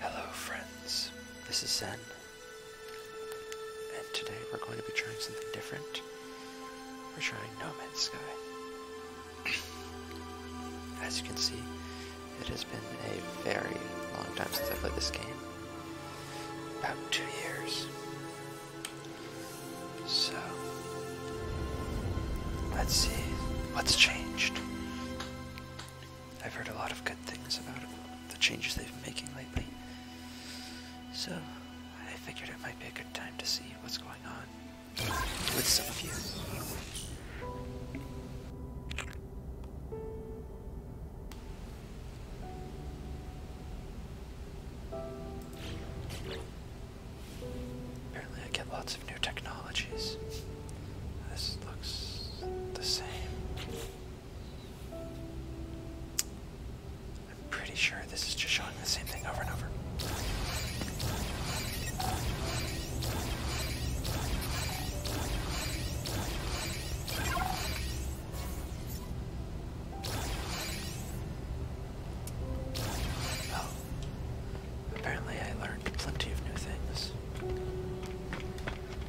Hello friends, this is Zen, and today we're going to be trying something different. We're trying No Man's Sky. As you can see, it has been a very long time since I played this game. About two years. So, let's see what's changed. I've heard a lot of good things about it, the changes they've been making lately. So, I figured it might be a good time to see what's going on with some of you. Apparently, I get lots of new technologies. This looks the same. I'm pretty sure this is just showing the same thing over and over. Oh. apparently I learned plenty of new things.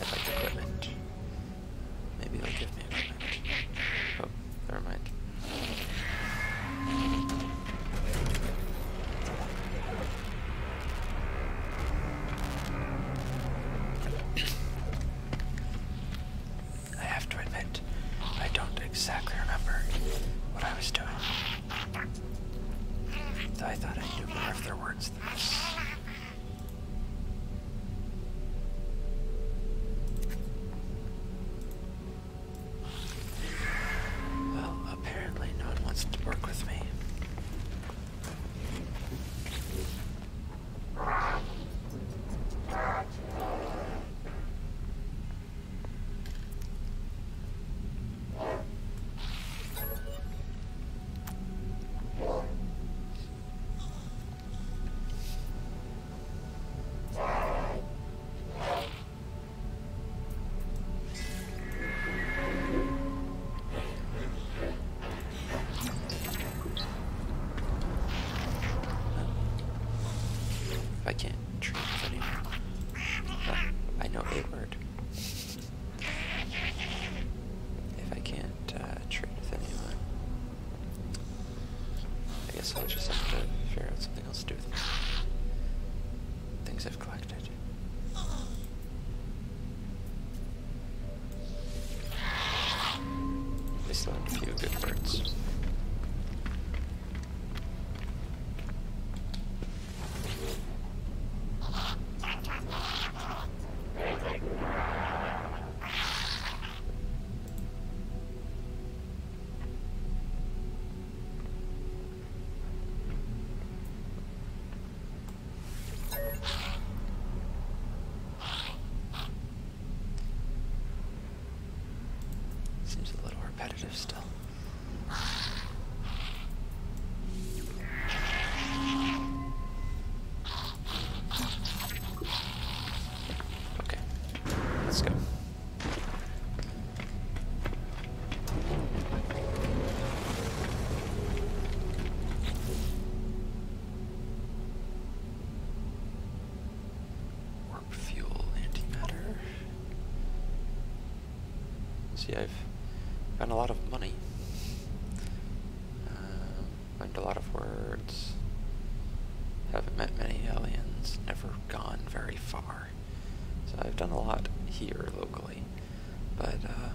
I'd like equipment. Maybe they'll give me equipment. Oh, never mind. I have to admit, I don't exactly remember what I was doing. I thought I knew more of their words than this. Well, apparently no one wants to work with me. I can't treat anymore. Ah, I know a word. If I can't uh, trade with anyone, I guess I'll just have to figure out something else to do with them. things I've collected. I still have a few good birds. Seems a little repetitive still. Okay, let's go. Warp fuel antimatter. See, I've found a lot of money. Uh, learned a lot of words. Haven't met many aliens. Never gone very far. So I've done a lot here locally, but uh,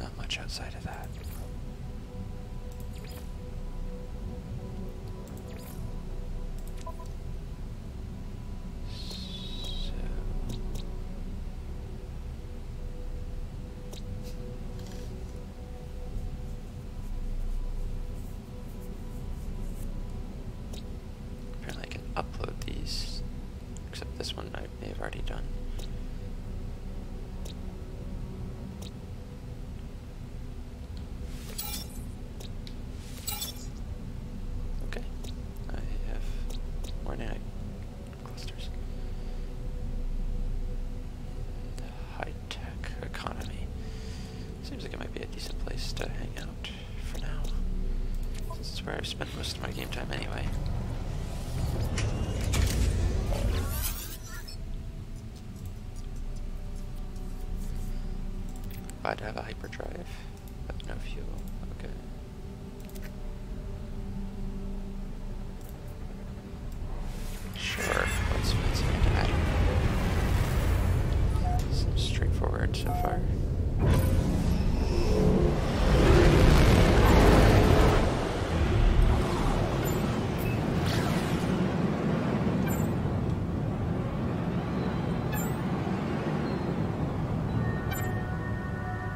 not much outside of that. Apparently I can upload these, except this one I may have already done. Okay, I have ornate clusters. high-tech economy seems like it might be a decent place to hang out for now. This is where I've spent most of my game time anyway. I'd have a hyperdrive, but no fuel. Okay. Sure, let's find some guy. straightforward so far.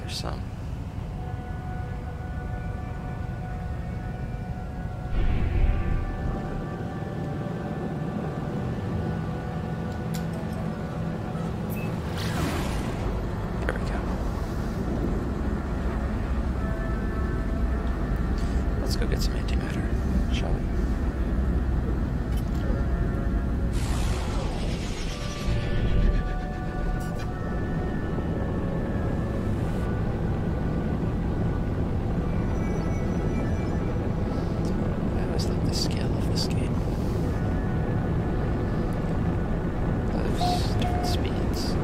There's some. There we go. Let's go get some antimatter, shall we? like the scale of this game. Different speeds.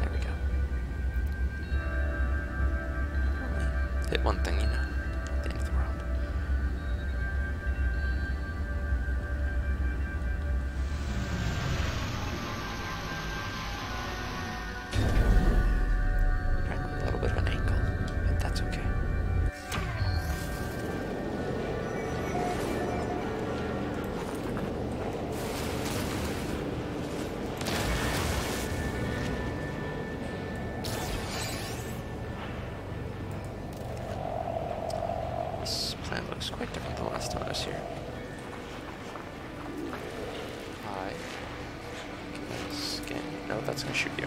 There we go. Hit one thing, you know. Not the end of a little bit of an angle, but that's okay. This plant looks quite different the last time I was here. Hi. Can No, that's gonna shoot you.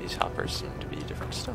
These hoppers seem to be different still.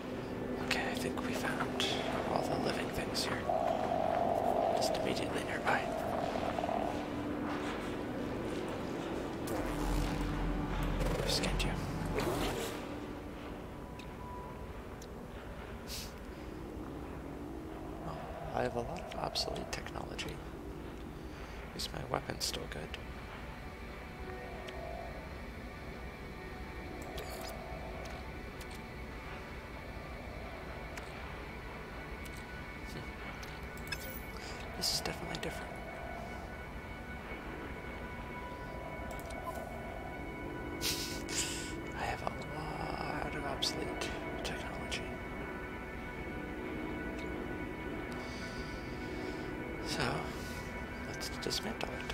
Okay, I think we found all the living things here. Just immediately nearby. I you. Well, I have a lot of obsolete technology. Is my weapon still good? Hmm. This is definitely different. I have a lot of obsolete technology. So, let's dismantle it.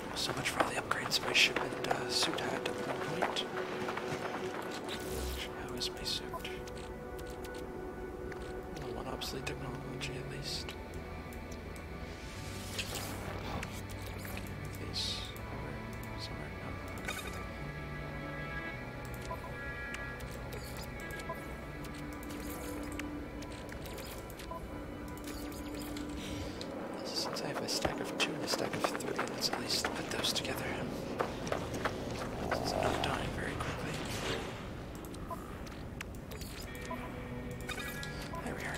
So much for all the upgrades my ship and uh, suit had at one point. How is my suit? Not one obsolete technology at least. Face since I have a stack of two and a stack of three, let's at least put those together. Since I'm not dying very quickly. There we are.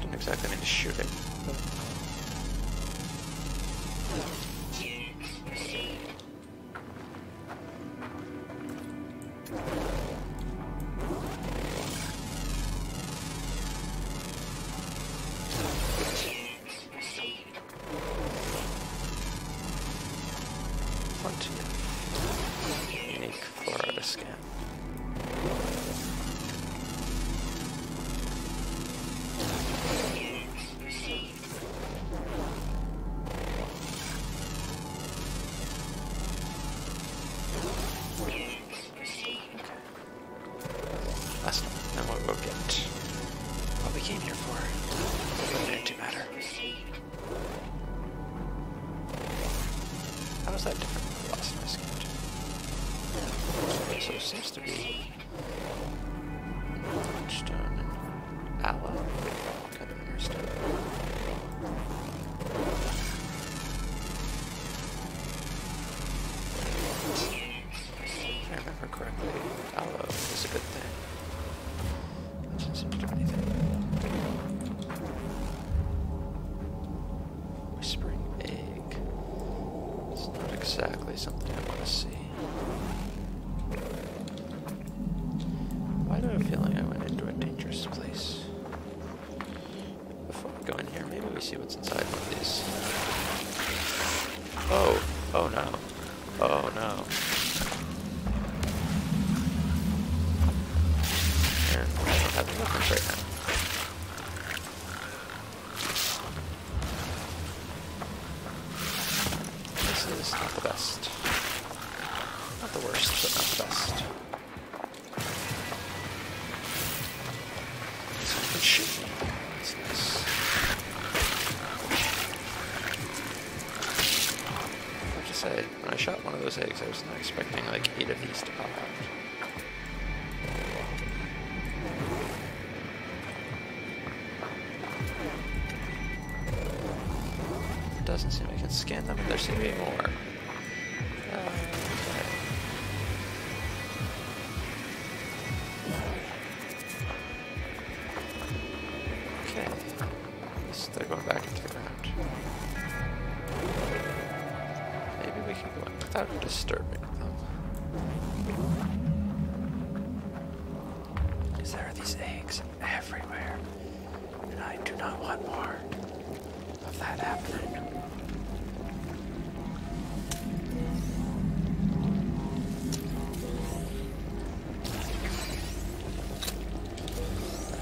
Didn't exactly mean to shoot it. Received. What? Unique for the scan. What we came here for. It didn't matter. How is that different from the last message? Okay, so it seems to be Stone and Aloe. Kind of near stone. If I remember correctly. Aloe is a good thing. Doesn't seem to do anything. Whispering egg. It's not exactly something I want to see. Why do I feel like I went into a dangerous place? Before we go in here, maybe we see what's inside one of these. Oh, oh no. Oh no. And I do right now. This is not the best. Not the worst, but not the best. Someone shoot me. That's nice. I have to say, when I shot one of those eggs, I was not expecting like eight of these to pop out. doesn't seem I can scan them, and there seem to be more. okay. They're going back and take around. Maybe we can go in without disturbing them. Because there are these eggs everywhere. And I do not want more of that happening.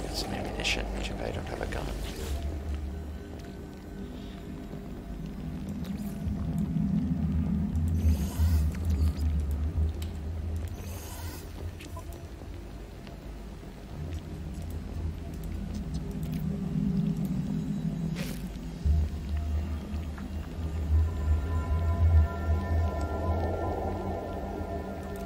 Got some ammunition, too bad I don't have a gun.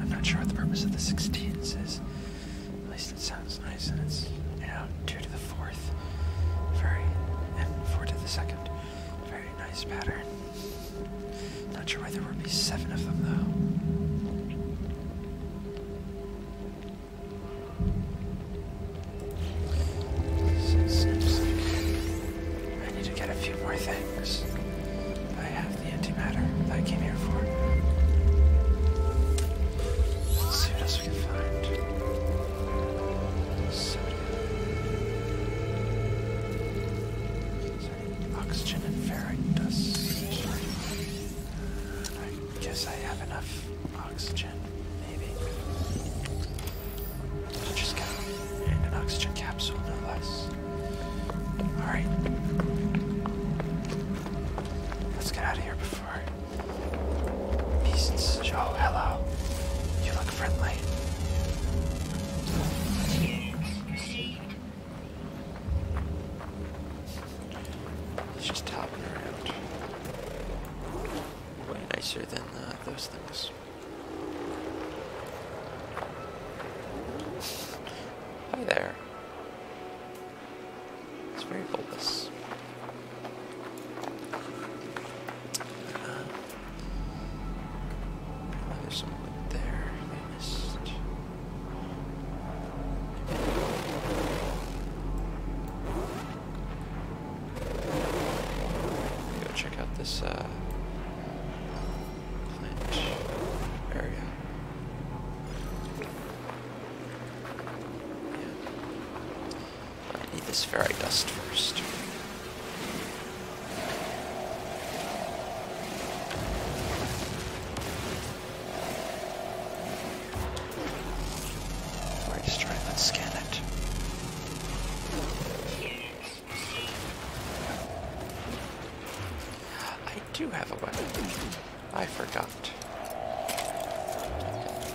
I'm not sure what the purpose of the 16s is. At least it sounds nice, and it's, you know, 2 to the 4th. Very. and 4 to the 2nd. Very nice pattern. Not sure why there would be 7 of them, though. I need to get a few more things. I have the antimatter that I came here for. see what else we can find. oxygen and ferric dust. I guess I have enough oxygen. Maybe. just go. And an oxygen capsule, no less. Alright. Let's get out of here before. Beasts. Joe, oh, hello. You look friendly. He's just hopping around. Way nicer than uh, those things. Hi there. It's very bulbous. Uh, there. missed. Go check out this uh, area. Yeah. I need this ferrite dust first. Let's scan it. I do have a weapon. I forgot.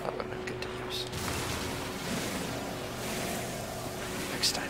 That would have good to use. Next time.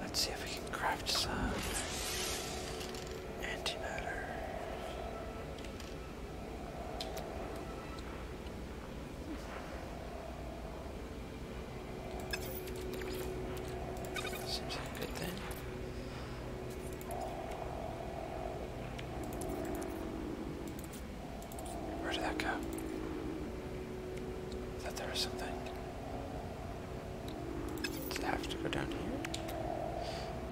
Let's see if we can craft some antimatter. Seems like a good thing. Where did that go? I thought there was something. Does it have to go down here?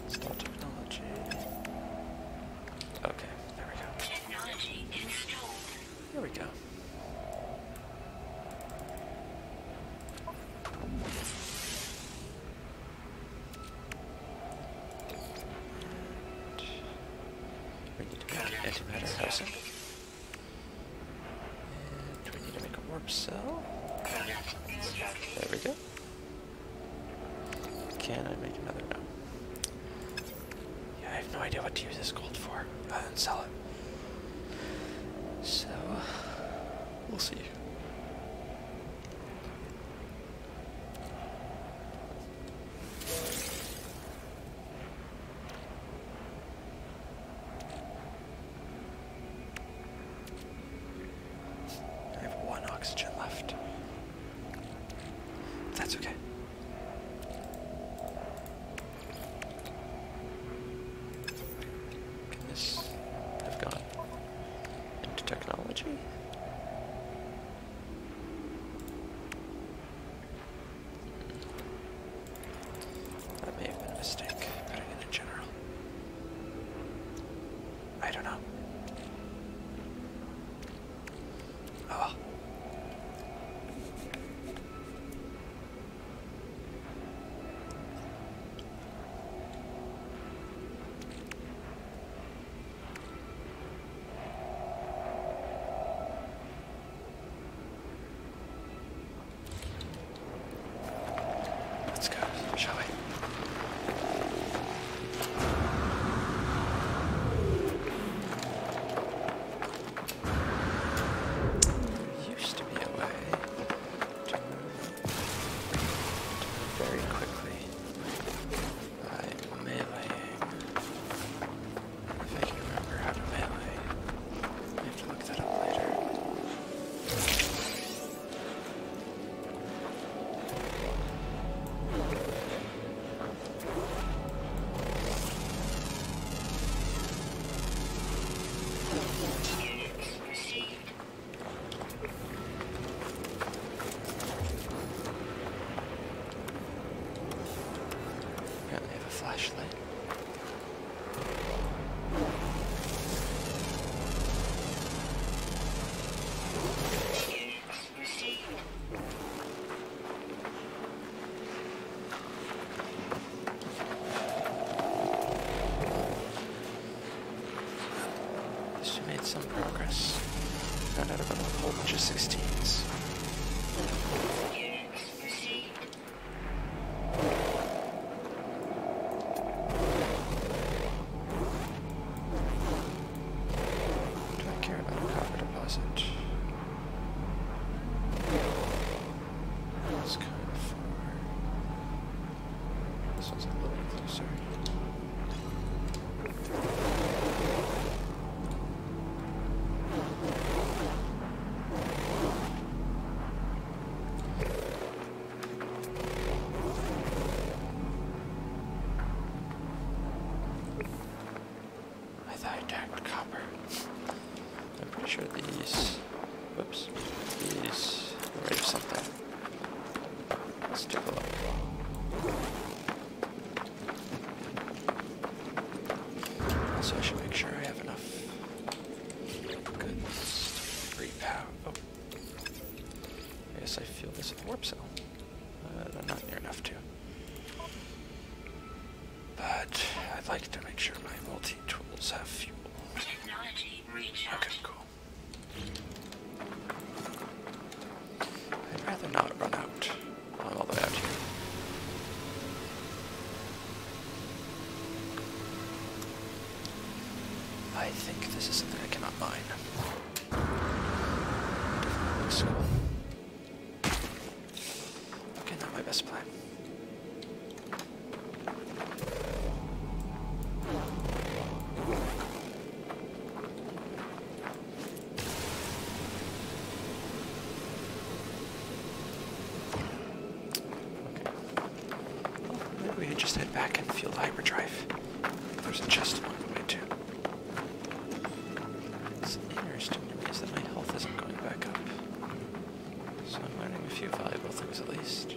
Install technology. Okay, there we go. Technology installed. There we go. We need to make an antimatter housing. we need to make a warp cell. There we go. Can I make another? one? Yeah, I have no idea what to use this gold for, other than sell it. So, we'll see. I have one oxygen left. That's okay. Yes, I've got into technology. That may have been a mistake, general. I don't know. Oh. Let's go, shall we? There used to be a way very quickly by meleeing. If I can remember how to melee. I have to look that up later. Apparently I have a flashlight. She made some progress. Found out about a whole bunch of 16s. Do I care about a copper deposit? That's kind of far. This one's a little closer. I thought I attacked copper. I'm pretty sure these, whoops, these are something. Let's take a look. So I should make sure I have enough goods to repower. Oh. I guess I feel this at the warp cell. Uh, I'm not near enough to. But I'd like to make sure my multi-tools have fuel. Technology Okay, cool. I'd rather not run out. I'm all the way out here. I think this is something I cannot mine. Cool. Okay, not my best plan just head back and field hyperdrive. There's a chest along the way too. It's interesting to is that my health isn't going back up. So I'm learning a few valuable things at least.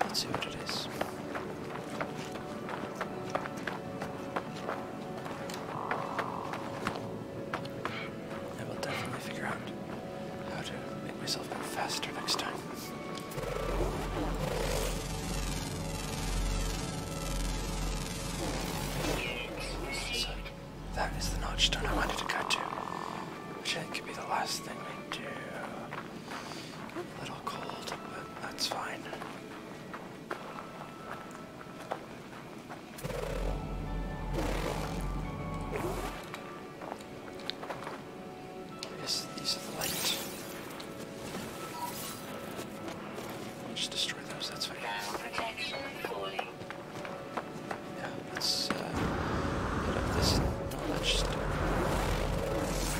Let's see what it is. I will definitely figure out how to make myself go faster next time. So that is the notch stone I wanted to go to, which I think could be the last thing we do. A little cold, but that's fine. I guess these are the lights. I'll just destroy those, that's fine. Uh, yeah, let's uh, get up this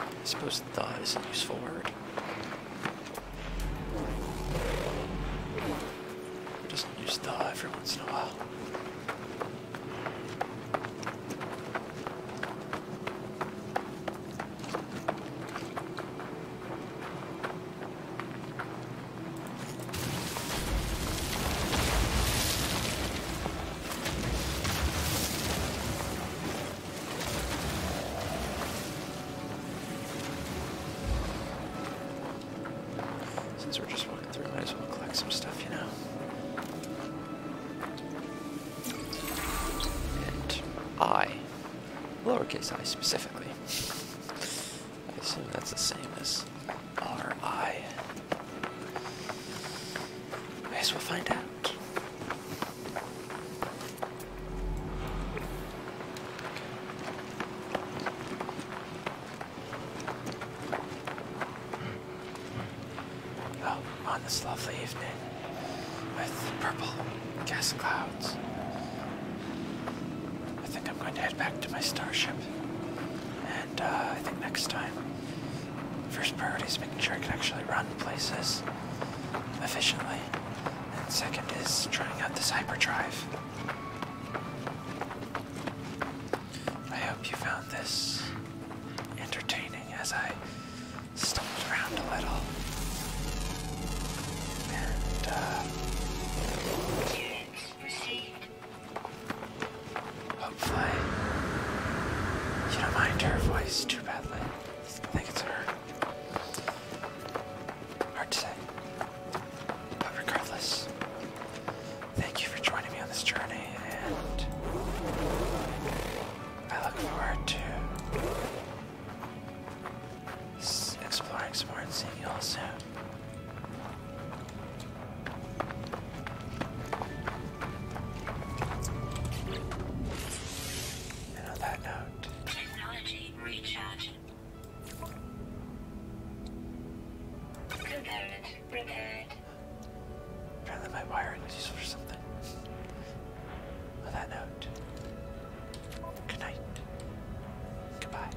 I suppose thaw is a useful word. Just, does use thaw every once in a while? Since we're just walking through, might as well collect some stuff, you know. And I, lowercase i specifically, I assume that's the same as RI. I as we'll find out. Oh, on this lovely evening with purple gas clouds. I think I'm going to head back to my starship. And uh, I think next time, first priority is making sure I can actually run places efficiently. And second is trying out this hyperdrive. I hope you found this entertaining as I stumbled around a little. And, uh, Hopefully, you don't mind her voice too badly. I think it's her. Hard to say. But regardless, thank you for joining me on this journey, and I look forward to exploring some more and seeing you all soon on that note, technology recharge. Component repaired. Apparently, my wiring was useful for something. On that note, good night. Goodbye.